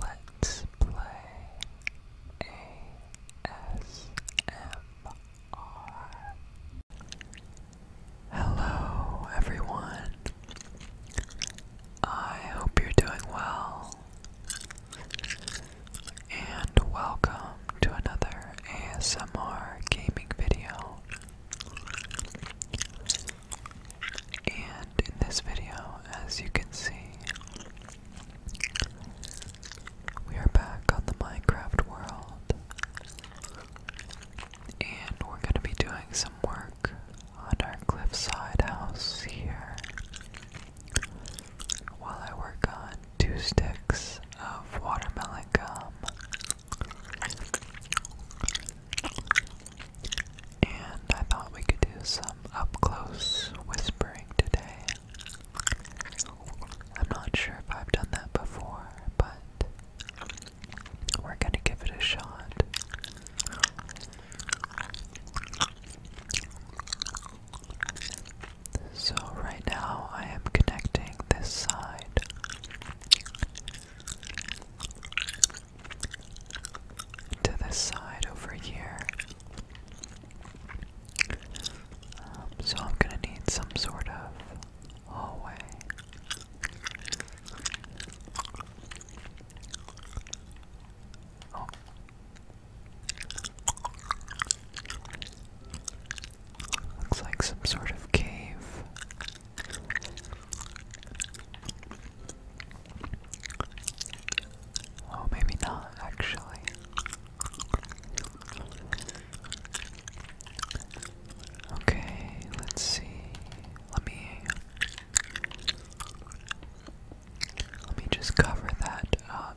Let's play ASMR. Hello, everyone. I hope you're doing well. And welcome to another ASMR gaming video. And in this video, as you can see, we are back on the Minecraft world. And we're going to be doing some work on our cliffside house here while I work on two sticks of watermelon gum. And I thought we could do some up close whispering today. I'm not sure if I've done that before, but we're gonna give it a shot. So, right now I am connecting this side to this side over here. Um, so I'm gonna need some sort of hallway. Oh. Looks like some sort of cave. Oh, maybe not, actually. Okay, let's see. Let me let me just cover that up.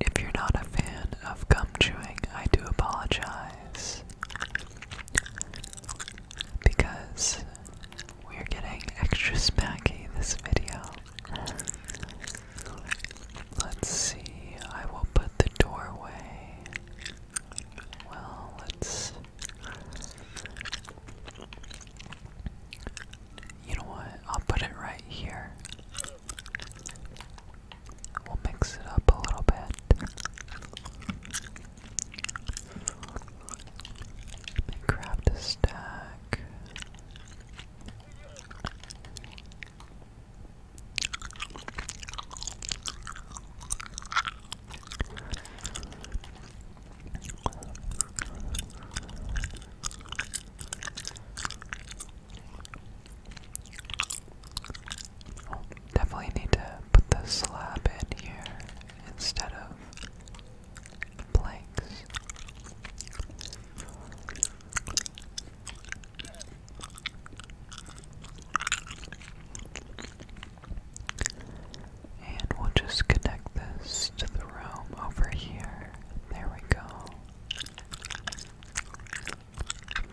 If you're not a fan of gum chewing, I do apologize. Because we're getting extra smacky this video. Let's see, I will put the doorway. Well, let's. You know what? I'll put it right here. We'll mix it up a little bit. grab the stack definitely need to put the slab in here instead of planks. And we'll just connect this to the room over here. There we go.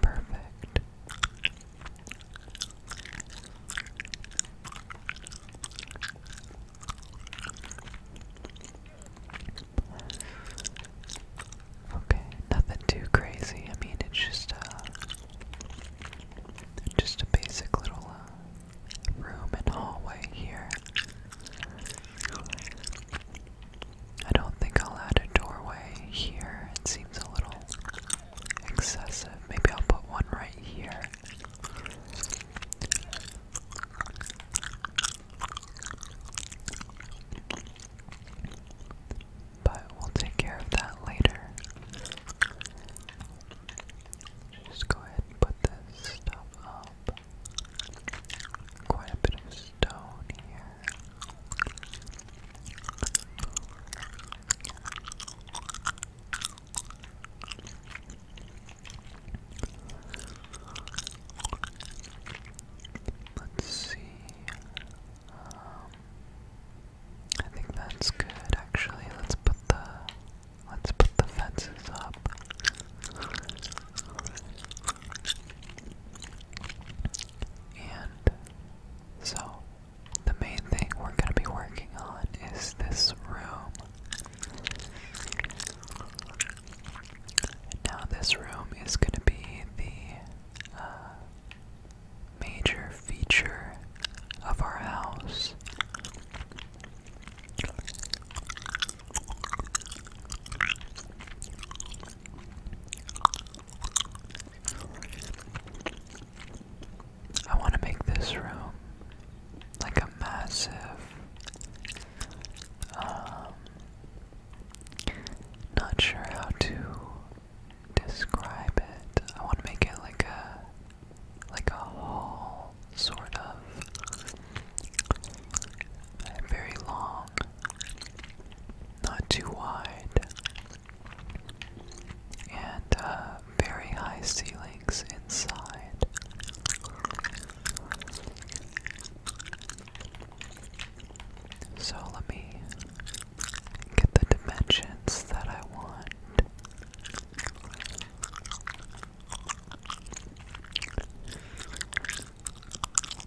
Perfect. Okay, nothing too crazy. I mean, it's just a uh, just a basic little uh, room and hallway here. I don't think I'll add a doorway here. It seems a little excessive. Maybe I'll put one right here. But we'll take care of that later. Just go ahead and put this stuff up. Quite a bit of stone here. Let's see. Um, I think that's good actually. Let's put the let's put the fences up. And so, the main thing we're going to be working on is this room. Now, this room is going to be the uh, major feature of our house. I want to make this room like a massive um, not sure how to describe it. I want to make it like a like a hall sort of very long not too wide, and uh, very high ceilings inside. So let me get the dimensions that I want.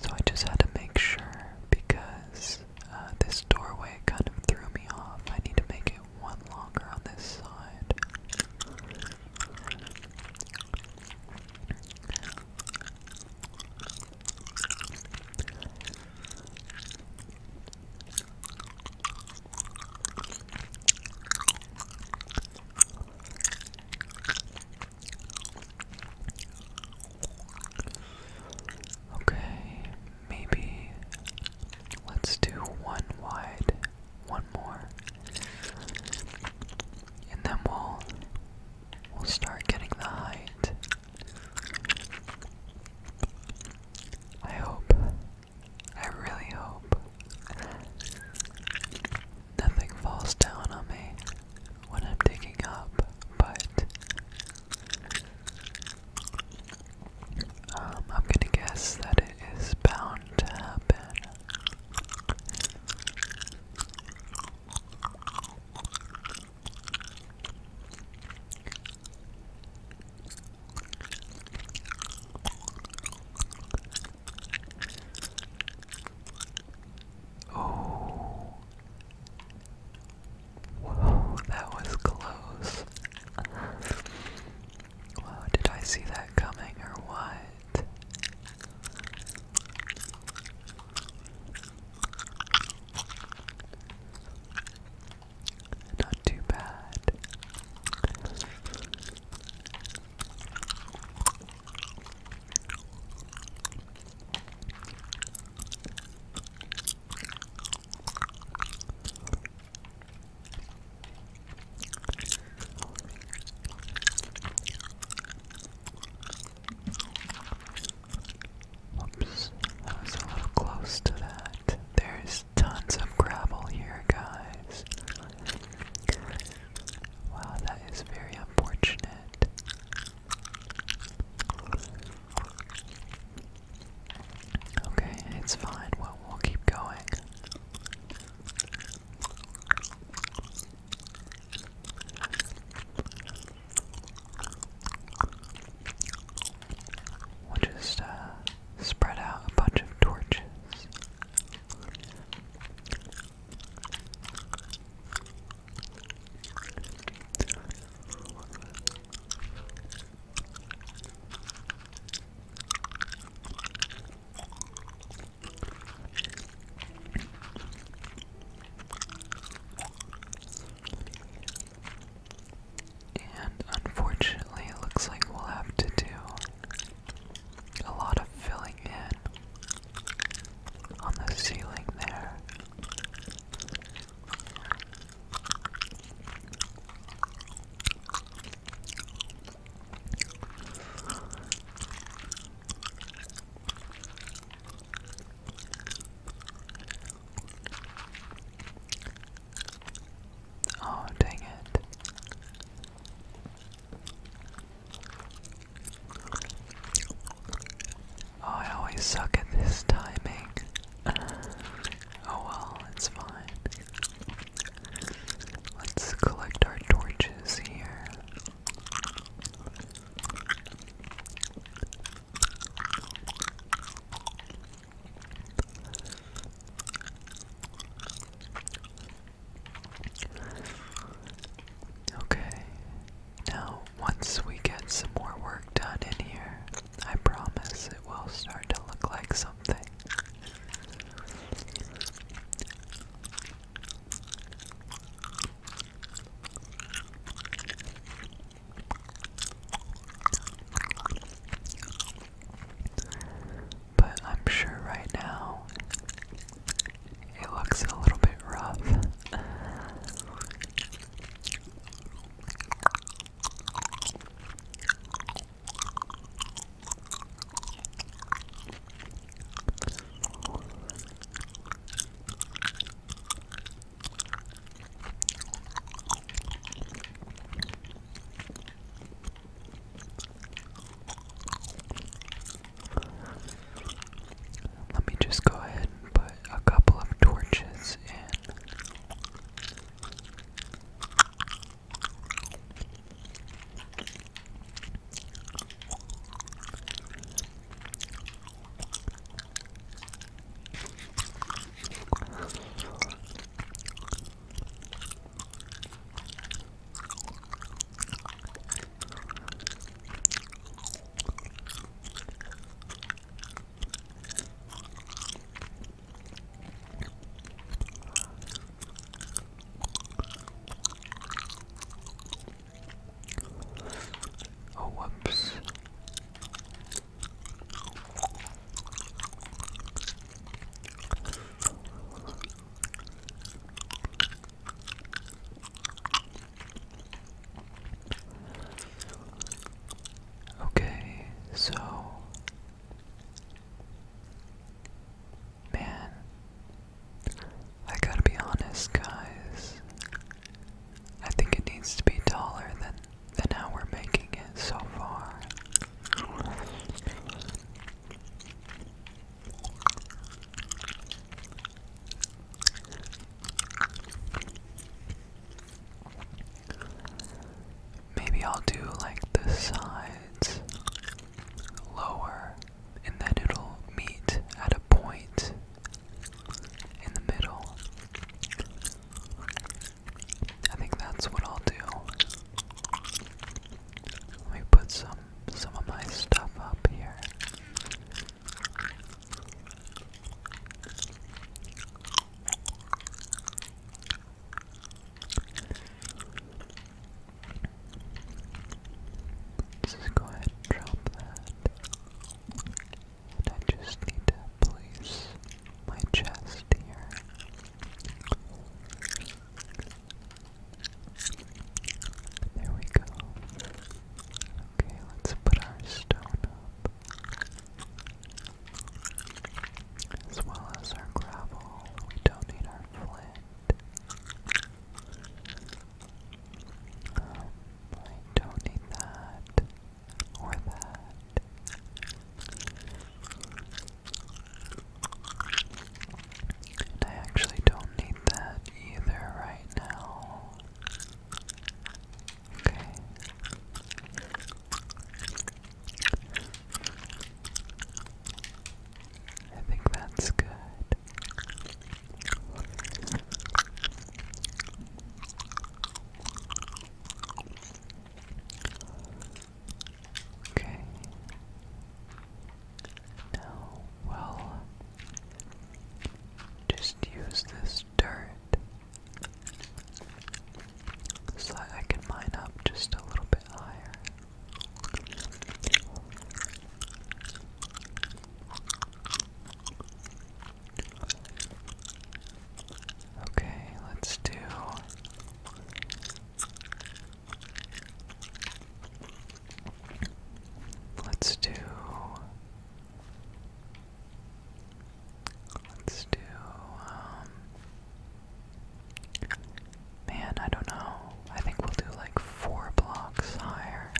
So I just had to make sure because uh, this doorway kind of threw me off. I need to make it one longer on this side. Okay, maybe let's do one wide, one more, and then we'll we'll start getting the height. I hope. I really hope. Nothing falls down on me when I'm digging up, but um, I'm gonna guess that it is bound to happen. Oh. Whoa, that was close. did I see that coming or what? Not too bad. Oops, I was a little close to that. There's tons of gravel here, guys. Wow, that is very unfortunate. Okay, it's fine. Well, we'll keep going. We'll just uh, spread out a bunch of torches. And unfortunately, it looks like we'll have to do a lot of filling in on the ceiling there. Oh, dang it. Oh, I always suck at this timing. Oh well, it's fine. Let's collect our torches here. Okay, now once we get some more work done in here, I promise it will start to look like something but I'm sure right now it looks a little bit rough. Let me just go ahead and put a couple of torches in. Oh, whoops. Okay, so man, I gotta be honest, guys. I think it needs to be taller than than how we're making it so far. Maybe I'll do like the sides lower and then it'll meet at a point in the middle. I think that's what I'll do. Let me put some some of my stuff up here. just go ahead drop that. I just need to place my chest here. There we go. Okay, let's put our stone up. As well as our gravel. We don't need our flint. Um, I don't need that. Or that. I actually don't need that either right now. Okay. I think that's good. Okay. Now, well, just use this dirt so I can mine up just a little bit higher. Okay, let's do Let's do. Let's do. Um, man, I don't know. I think we'll do like four blocks higher.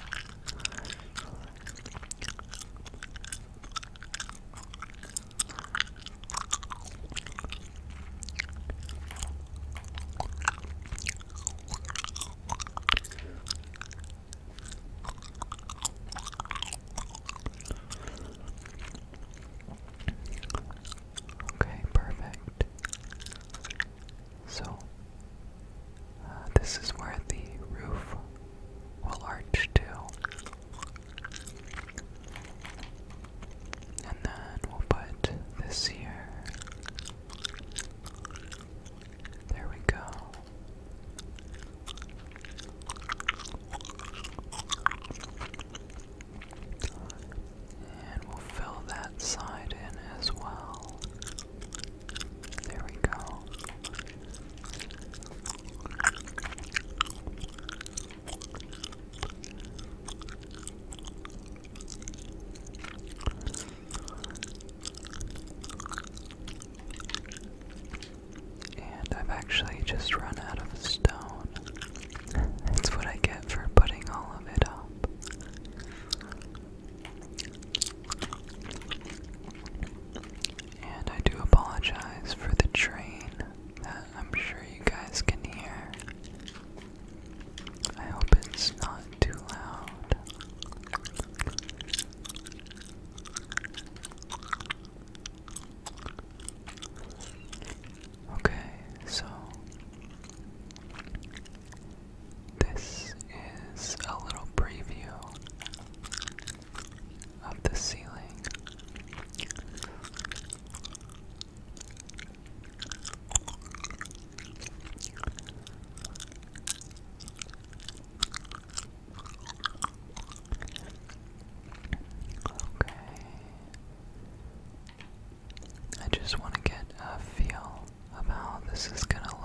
Okay, perfect. So, uh, this is where the roof will arch to. And then we'll put this here. There we go. And we'll fill that side in as well. There we go. And I've actually just run out of stone. That's what I get for putting all of it up. And I do apologize for the train that I'm sure you guys can hear. I hope it's not too loud. Okay, so this is a little preview of the ceiling. Okay. I just want to get a feel of how this is going to look.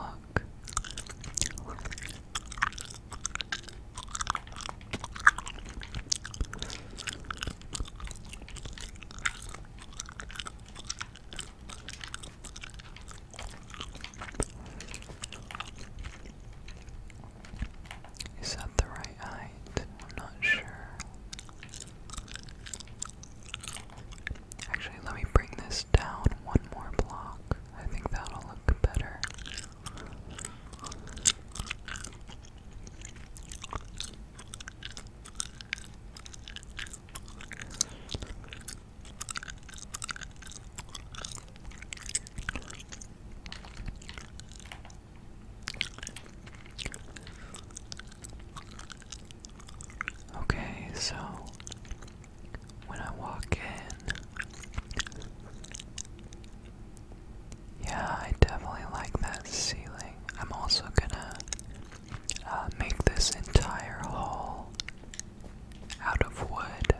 Is that the right height? I'm not sure. Actually, let me bring this down one more block. I think that'll look better. Okay, so when I walk in, yeah, I definitely like that ceiling. I'm also gonna uh, make this entire hall out of wood.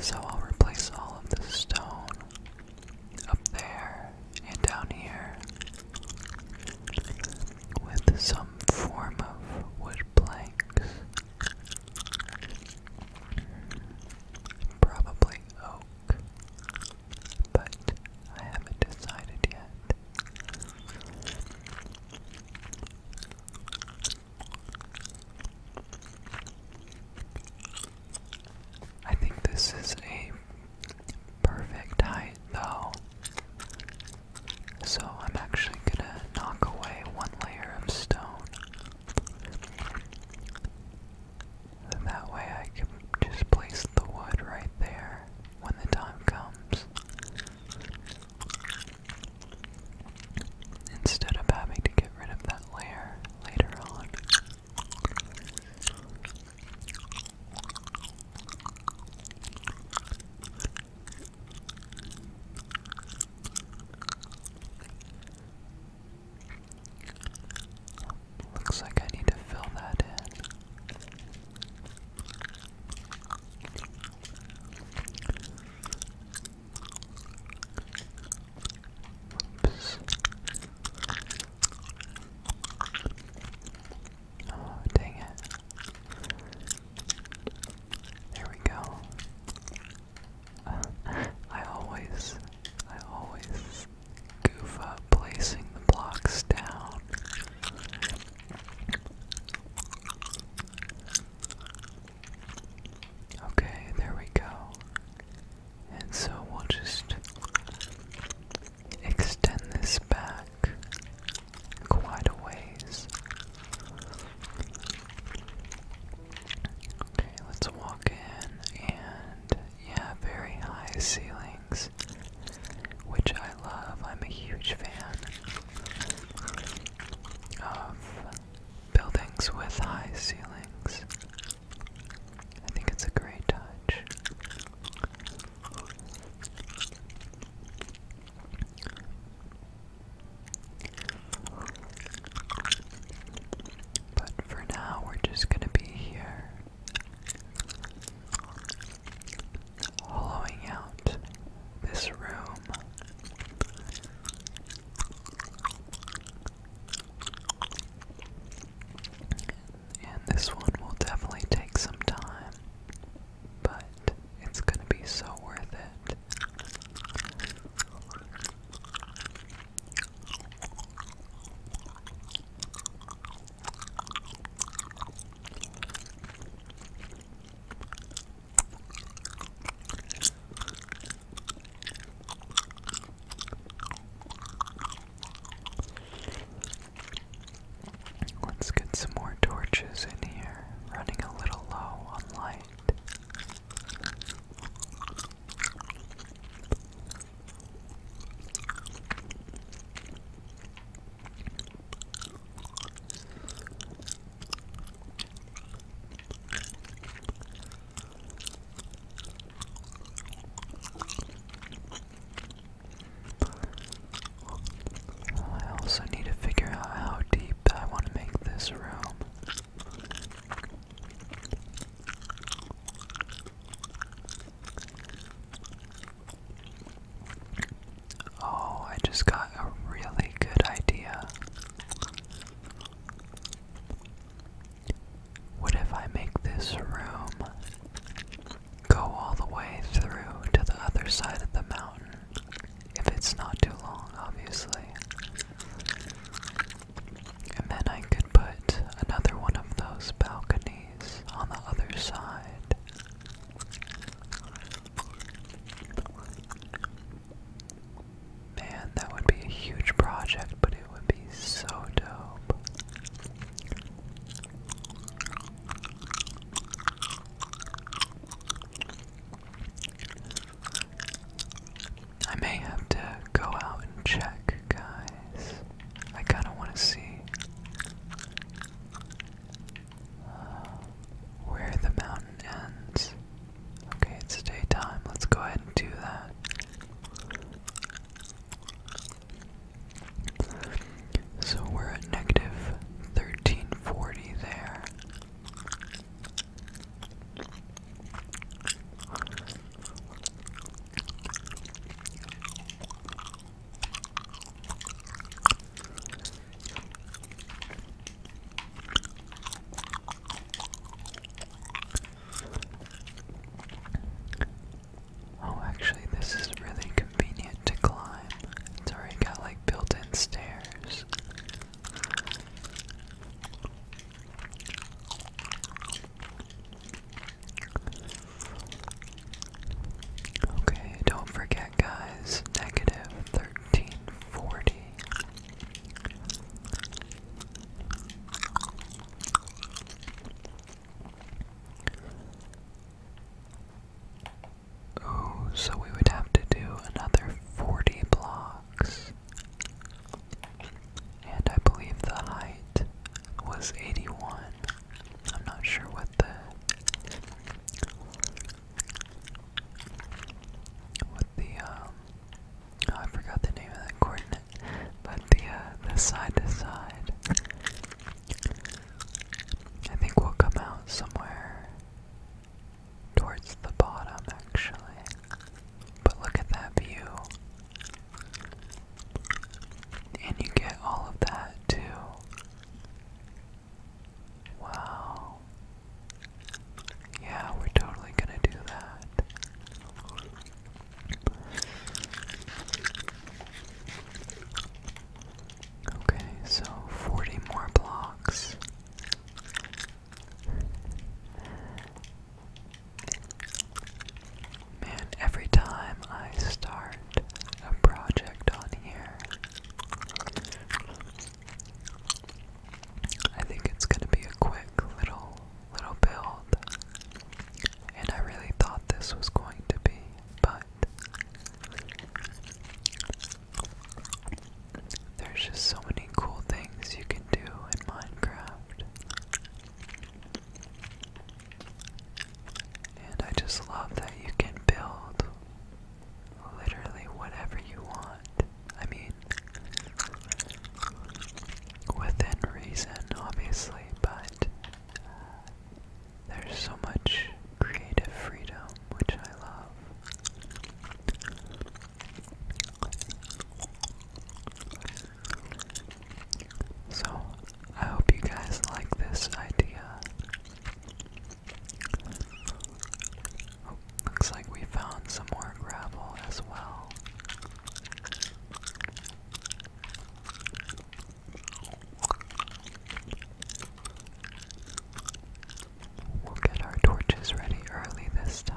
So I'll replace all of the stone up there and down here with some form of wood planks. Probably oak but I haven't decided yet. I think this is a perfect height though. So I'm actually gonna knock away one layer of stone. And that way I can just place the wood right there when the time comes. Instead of having to get rid of that layer later on looks like I need to fill that in. Oh, dang it. There we go. I always, I always goof placing the blocks down. Okay, there we go. And so we'll just extend this back quite a ways. Okay, let's walk in, and yeah, very high ceilings which I love. I'm a huge fan of buildings with high ceilings. I think it's a great touch. But for now, we're just going to be here hollowing out this room. And this one will definitely take some time, but it's going to be so worth it. Let's get some more torches in here, running a little low on light. I also need to figure out how deep I want to make this room. Oh, I just got a really good idea. What if I make this room go all the way through to the other side of the mountain? If it's not too long, obviously. And then I could put another one of those balconies on the other side. Man, that would be a huge project, but it would be so dope. I may have to go out and check, guys. I kind of want to see uh, where the mountain ends. Okay, it's daytime. Let's go ahead and do that. So we're at negative 1340 there. Oh, actually, this is really convenient to climb. It's already got like built in stairs. Okay, don't forget, guys, negative 1340. Oh, so we would have to do another 40 blocks. And I believe the height was 81. I'm not sure what the what the um oh, I forgot the name of that coordinate, but the uh, the side to side. I think we'll come out somewhere towards the bottom actually. But look at that view. And you get all of that too. Wow. Yeah, we're totally gonna do that. Okay, so 40 more blocks. Man, every time I start a project on here, I think it's gonna be a quick little little build. And I really thought this was going to be, but there's just so many cool things you can do in Minecraft. And I just love that you can build literally whatever you want. I mean, within reason, obviously, but uh, there's so much creative freedom, which I love. So, I hope you guys like this idea. Oh, looks like we found some more gravel as well. We'll get our torches ready early this time.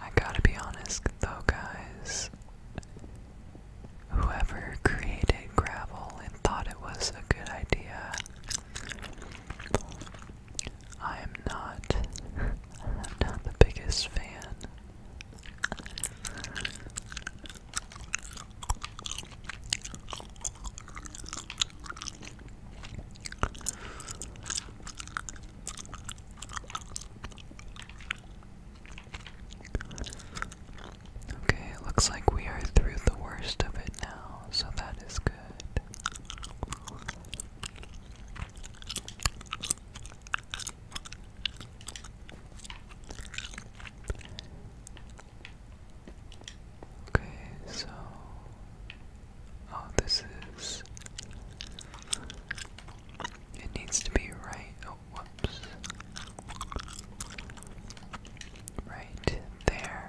I gotta be honest, though, guys. Whoever created gravel and thought it was a good idea I am not I'm not the biggest fan. Okay, it looks like we are through the worst of it now, so that is good. Okay, so oh, this is it needs to be right. Oh, whoops, right there.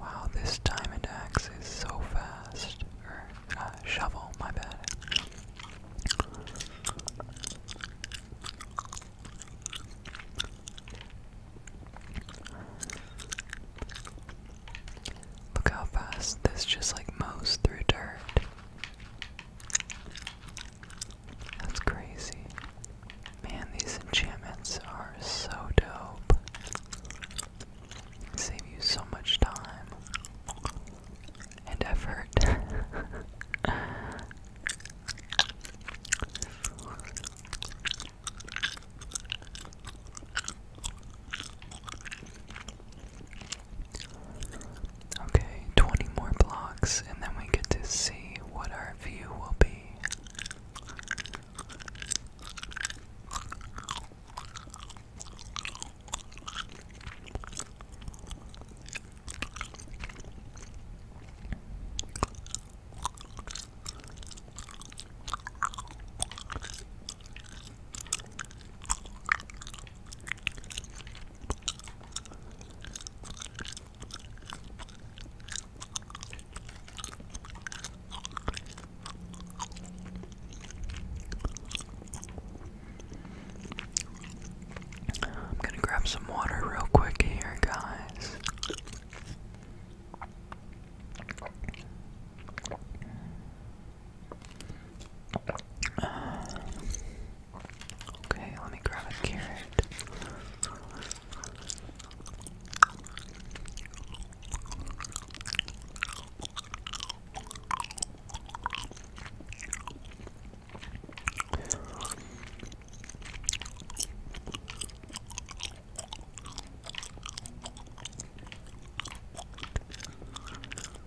Wow, this diamond axe is so fast. Or, uh, shovel, my bad. Look how fast this just like mows through dirt. That's crazy. Man, these enchantments are so dope. save you so much time and effort. Okay, 20 more blocks, and then we get to see what our view will be. I'm gonna grab some water real quick here, guys okay, let me grab a carrot.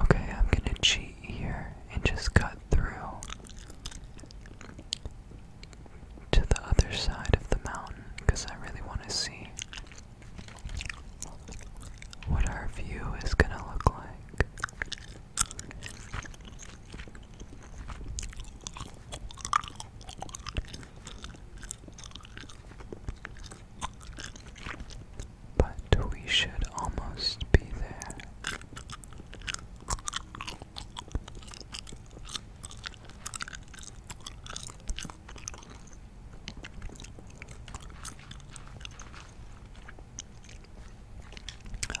Okay, I'm gonna cheat here and just cut through to the other side of the mountain because I really want to see what our view is gonna look like but we should almost be there.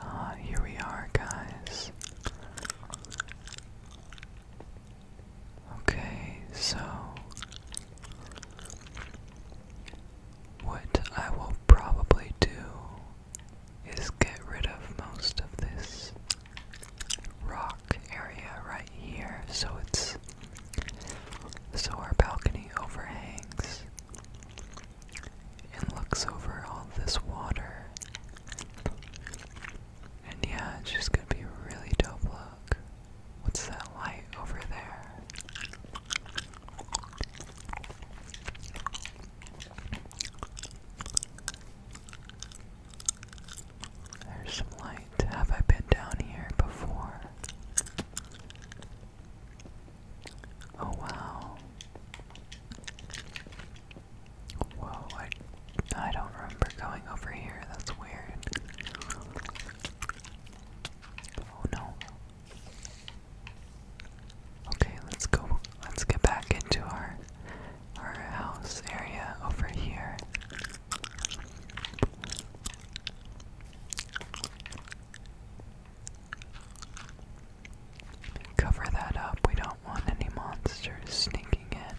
Ah, here we are, guys. Okay, so what I will probably do is get rid of most of this rock area right here so it's so our balcony overhangs and looks over all this water. And yeah, it's just gonna be a really dope look. What's that light over there? There's some light. Have I been down here before? Oh wow. Whoa, I I don't remember going over here. That's weird. Oh no. Okay, let's go. Let's get back into our our house area over here. Cover that up. We don't want any monsters sneaking in.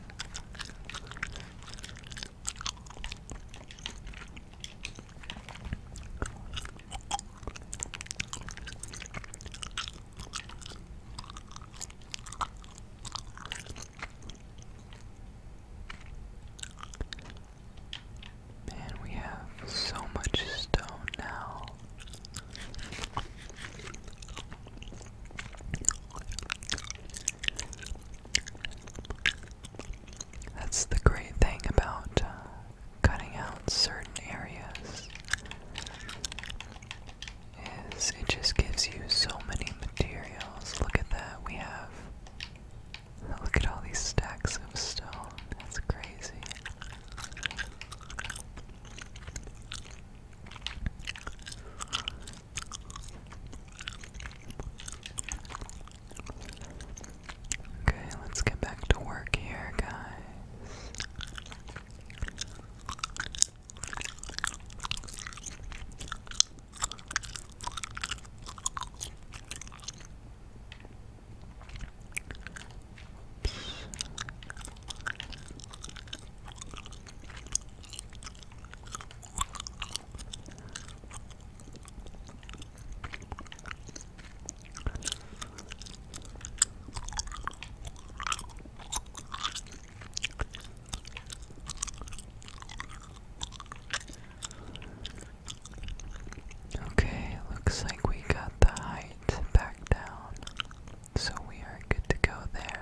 Man, we have so much stone now. That's the great thing about uh, cutting out certain areas is it just gives you so many materials. Look at that, we have. Look at all these stacks of stone. That's crazy. Okay, let's get back to work here, guys. Okay, looks like we got the height back down, so we are good to go there.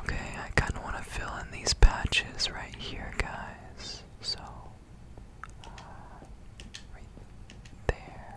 Okay, I kind of want to fill in these patches right here, guys. So, uh, there.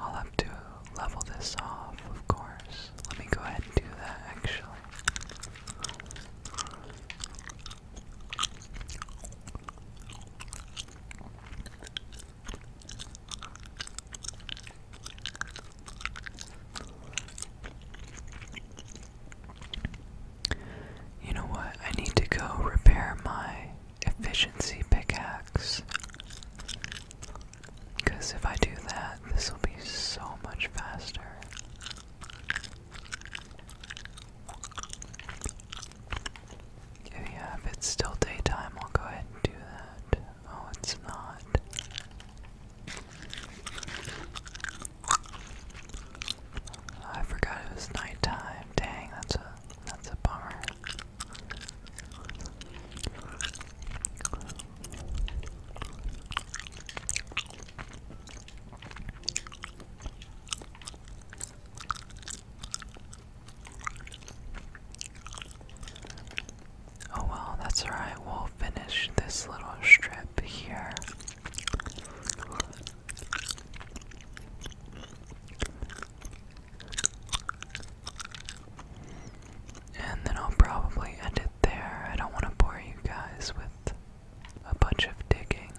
I'll have to level this off, of course. Let me go ahead and do that actually. You know what? I need to go repair my efficiency pickaxe. Because if I do that, this will be so much faster. if it's still daytime, I'll go ahead and do that. Oh, it's not. I forgot it was nighttime. Dang, that's a that's a bummer. Oh well, that's alright. We'll finish this little strip here. And then I'll probably end it there. I don't want to bore you guys with a bunch of digging.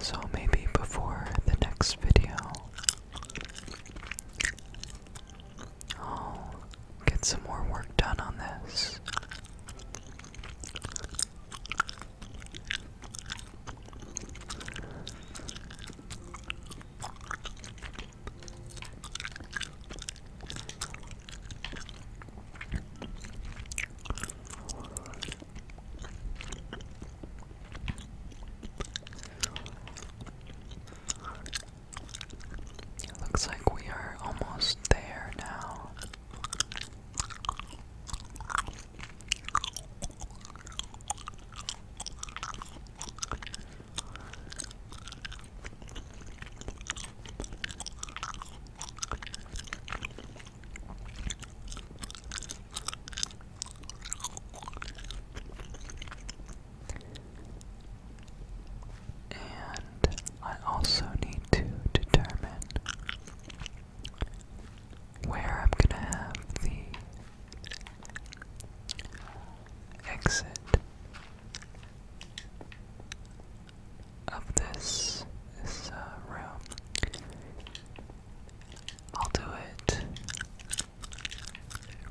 So maybe before the next video, I'll get some more work done on this. It looks like we are almost there now. And I also need to determine where I'm going to have the exit of this, uh, room. I'll do it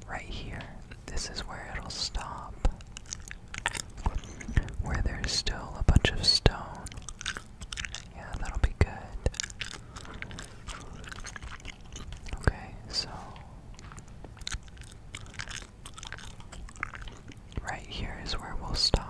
Right here, this is where it'll stop. Where there's still a bunch of stone. Yeah, that'll be good. Okay, so. Right here is where we'll stop.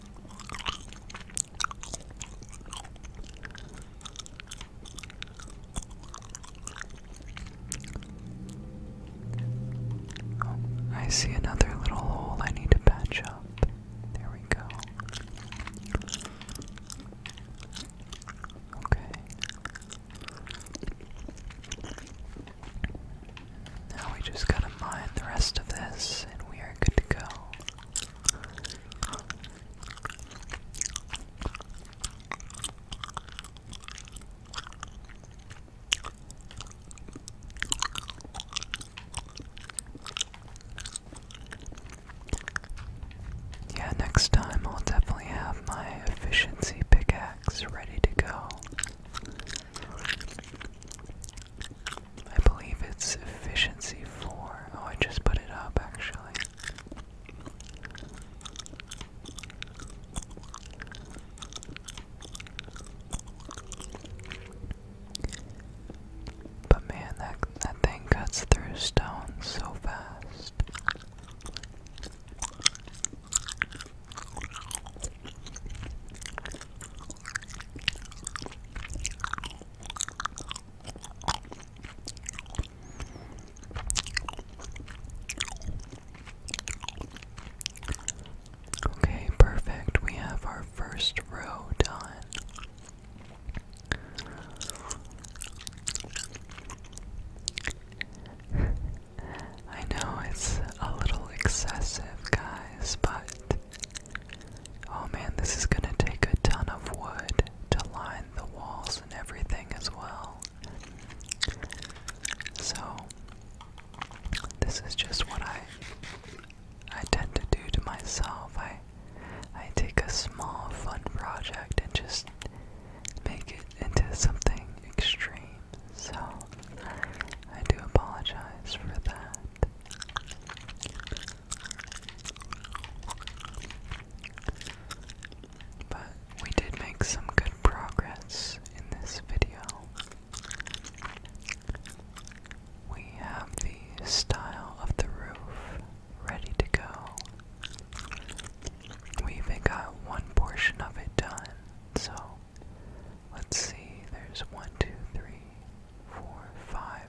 I see another little hole I need to patch up. There we go. Okay. Now we just gotta mine the rest of this and we are good to go. Yeah, next time I'll definitely have my efficiency pickaxe ready to go. I believe it's efficiency 4. Oh, I just put it up actually. But man, that that thing cuts through stone so fast. Okay, perfect. We have our first row done. I know it's a little excessive, guys, but Oh man, this is gonna take a ton of wood to line the walls and everything as well. So, this is just what I I tend to do to myself. I I take a small fun project and just make it into something extreme. So, I do apologize for that. But we did make some good progress in this video. We have the style of the roof ready to go. We even got one portion of it done, so let's see. There's one, two, three, four, five,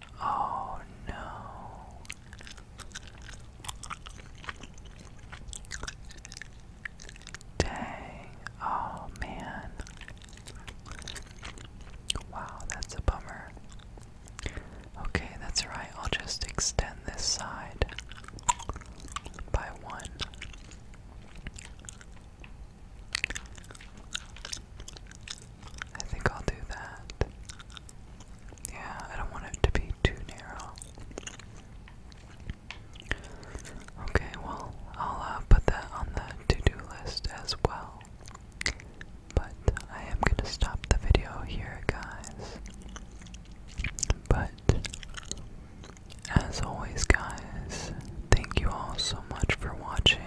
Oh no. Dang. Oh man. Wow, that's a bummer. Okay, that's right. I'll just extend this side by one. I think I'll do that. Yeah, I don't want it to be too narrow. Okay, well, I'll uh, put that on the to do list as well. But I am going to stop the video here, guys. But as always, guys, thank you all so much for watching.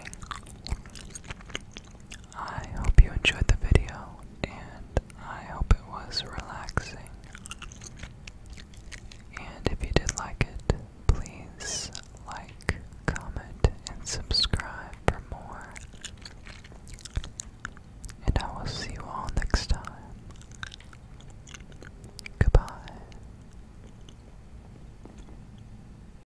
I hope you enjoyed the video, and I hope it was relaxing. And if you did like it, please like, comment, and subscribe for more. And I will see you all next time. Goodbye.